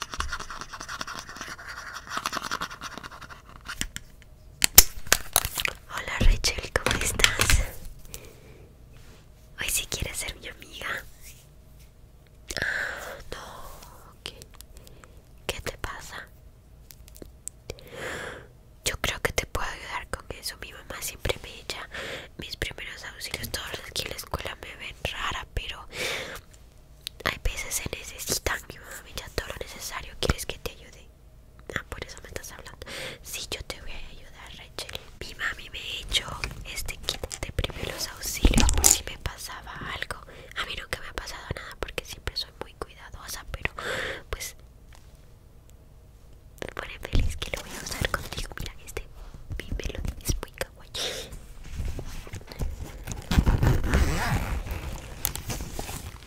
Hola Rachel, ¿cómo estás? Hoy si quieres ser mi amiga. Ah, no, ¿qué ¿qué te pasa? Yo creo que te puedo ayudar con eso. Mi mamá siempre me echa mis primeros auxilios. Todos los que en la escuela me ven rara, pero hay veces se necesitan, mi mamá me todo lo necesario. ¿Quieres que te ayude? Ah, por eso me estás hablando. Sí, yo te voy a ayudar, Rachel. Mi mami me hecho este kit de primeros auxilios por si me pasaba algo. A mí nunca me ha pasado nada porque siempre soy muy cuidadosa, pero pues me pone feliz que lo voy a usar contigo. Mira, este bíbelo es muy oye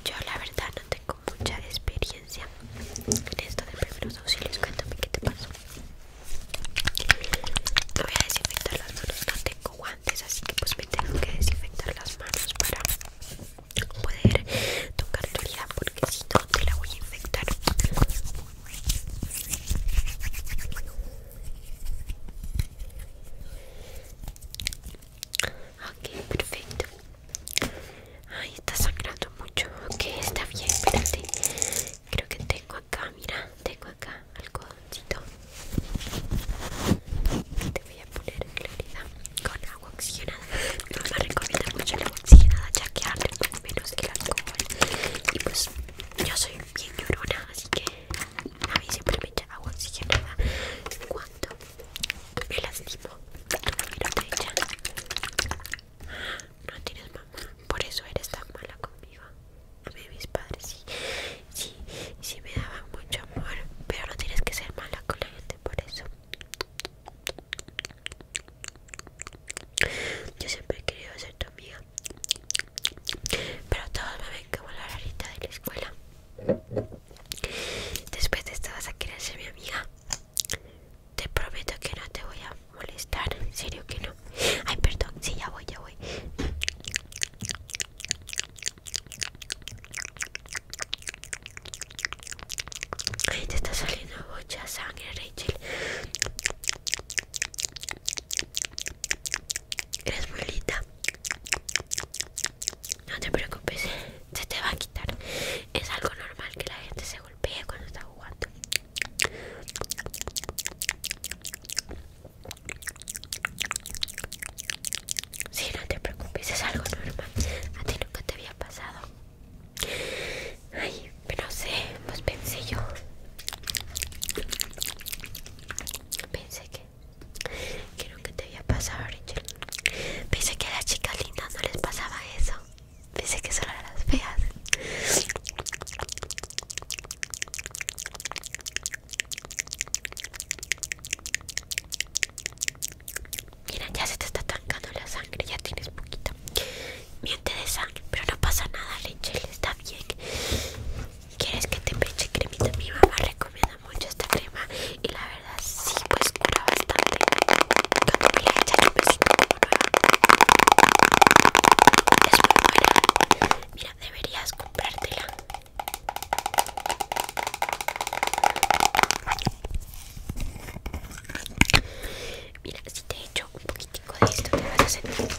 Yo la verdad no tengo mucha experiencia en esto de primeros auxilios. Cuéntame qué te pasó. Me voy a desinfectar las manos, no tengo guantes, así que pues me tengo que desinfectar las manos para poder tocar tu herida porque si no te la voy a infectar Ok, perfecto. Ay, está sangrando mucho. Ok, está bien, espérate. Creo que tengo acá, mira, tengo acá algodoncito. Te voy a poner en claridad con agua oxigenada. No me recomienda mucho la oxigenada ya que arde menos el alcohol. Y pues yo soy bien llorona, así que a mí siempre me echa agua oxigenada cuando me lastimo. No No tienes mamá, por eso eres tan mala conmigo. A mí mis padres sí, sí, sí me daban mucho amor, pero no tienes que ser mala con la gente por eso. Yo siempre he querido ser tu amiga. Pero todos me ven como la rarita de la escuela. Después de esto vas a querer ser mi amiga. Te prometo que no te voy a molestar. En serio que no. Ay, perdón. Sí, ya voy, ya voy. Ay, te está saliendo mucha sangre, Rachel. Eres muy No te preocupes, se te va a quitar. Es algo normal que la gente se golpee cuando está jugando. Sí, no te preocupes, es algo normal. A ti nunca te había pasado. Ay, pero sé, pues pensé yo. Pensé que. Quiero que te había pasado Pensé que a las chicas lindas no les pasaba eso. Pensé que solo a las feas. Mira, ya se te está tancando la sangre, ya tienes poquito miente de sangre, pero no pasa nada, Rachel, está bien. ¿Quieres que te peche cremita? Mi mamá recomienda mucho esta crema y la verdad sí, pues cura bastante. Cuando Es muy buena. Mira, deberías comprártela. Mira, si te echo un poquitico de esto, te vas a sentir como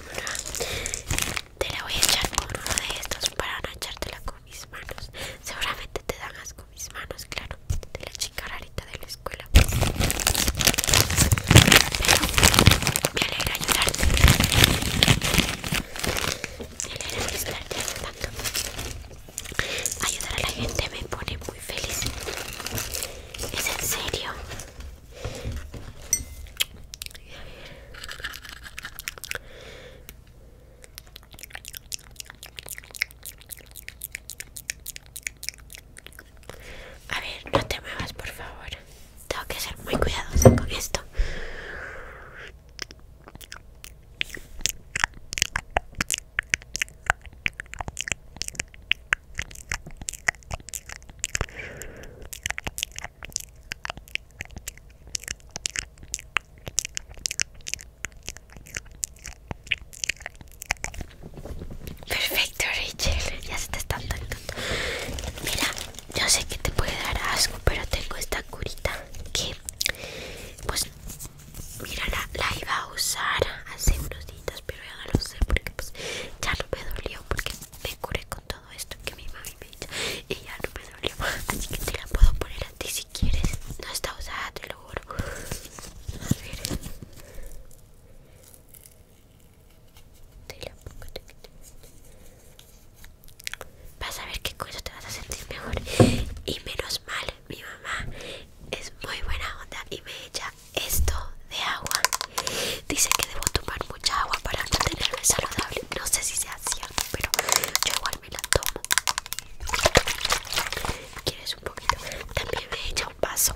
Te la voy a echar con uno de estos para no echártela con mis manos. Seguramente te dan con mis manos, claro, de la chica rarita de la escuela. Pero me alegra ayudarte. Me alegra estarte tanto. Ayudar a la gente me pone muy feliz. Es en serio. A ver, no te muevas, por favor. Tengo que ser muy cuidadosa con esto. Perfecto, Rachel. Ya se te está tocando. Mira, yo sé que te puede dar asco, pero tengo esta curita que, pues, Mira, la, la iba a usar hace unos días, pero ya no lo sé porque pues ya no me dolió porque me curé con todo esto que mi mami me hizo y ya no me dolió. Así que te la puedo poner a ti si quieres. No está usada, te lo juro. A ver. Te la pongo. Vas a ver qué cosa te vas a sentir mejor y menos mal mi mamá es muy buena onda y me echa esto de agua. Dice que debo tomar mucha agua para mantenerme saludable. No sé si sea cierto, pero yo igual me la tomo. ¿Quieres un poquito? También me echa un vaso.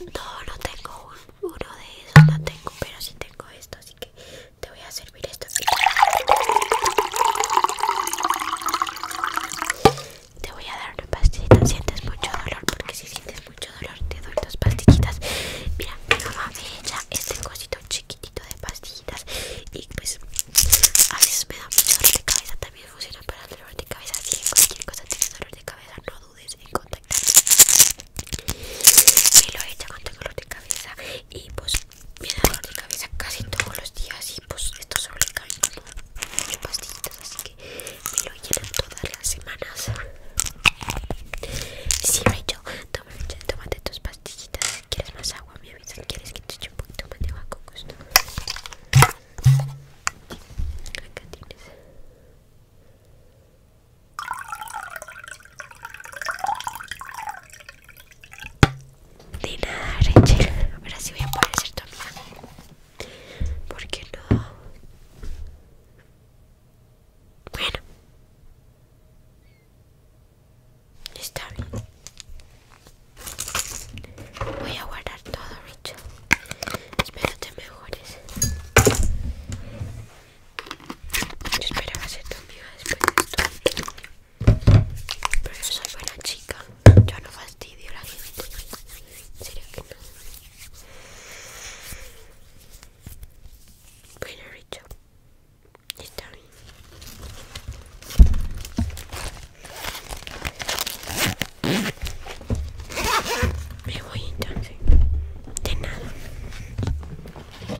No, no tengo uno de esos, no tengo, pero sí tengo esto, así que te voy a hacer te voy a dar una pastillita sientes mucho dolor porque si sientes mucho dolor te doy dos pastillitas mira mi mamá me echa este cosito chiquitito de pastillitas y pues a veces me da mucho dolor de cabeza también funciona para el dolor de cabeza si en cualquier cosa tienes dolor de cabeza no dudes en contactarme me lo echa con tu dolor de cabeza y pues viene dolor de cabeza casi todos los días y pues esto sobre le camino. como pastillitas así que me lo llenan todas las semanas si sí, yo toma, de tus pastillitas si quieres más agua me avisan quieres que te eche un poquito más de agua con gusto acá tienes de nada, Rachel. Ahora sí voy a poder hacer tu amiga. ¿Por qué no? Bueno, está bien. Voy a guardar todo, Rachel. Espero que mejores. Yo esperaba ser tu amiga pero yo soy buena chica. Yo no fastidio a la gente. ¿En serio que no? Bueno, Richo. Está bien. Me voy entonces. De nada.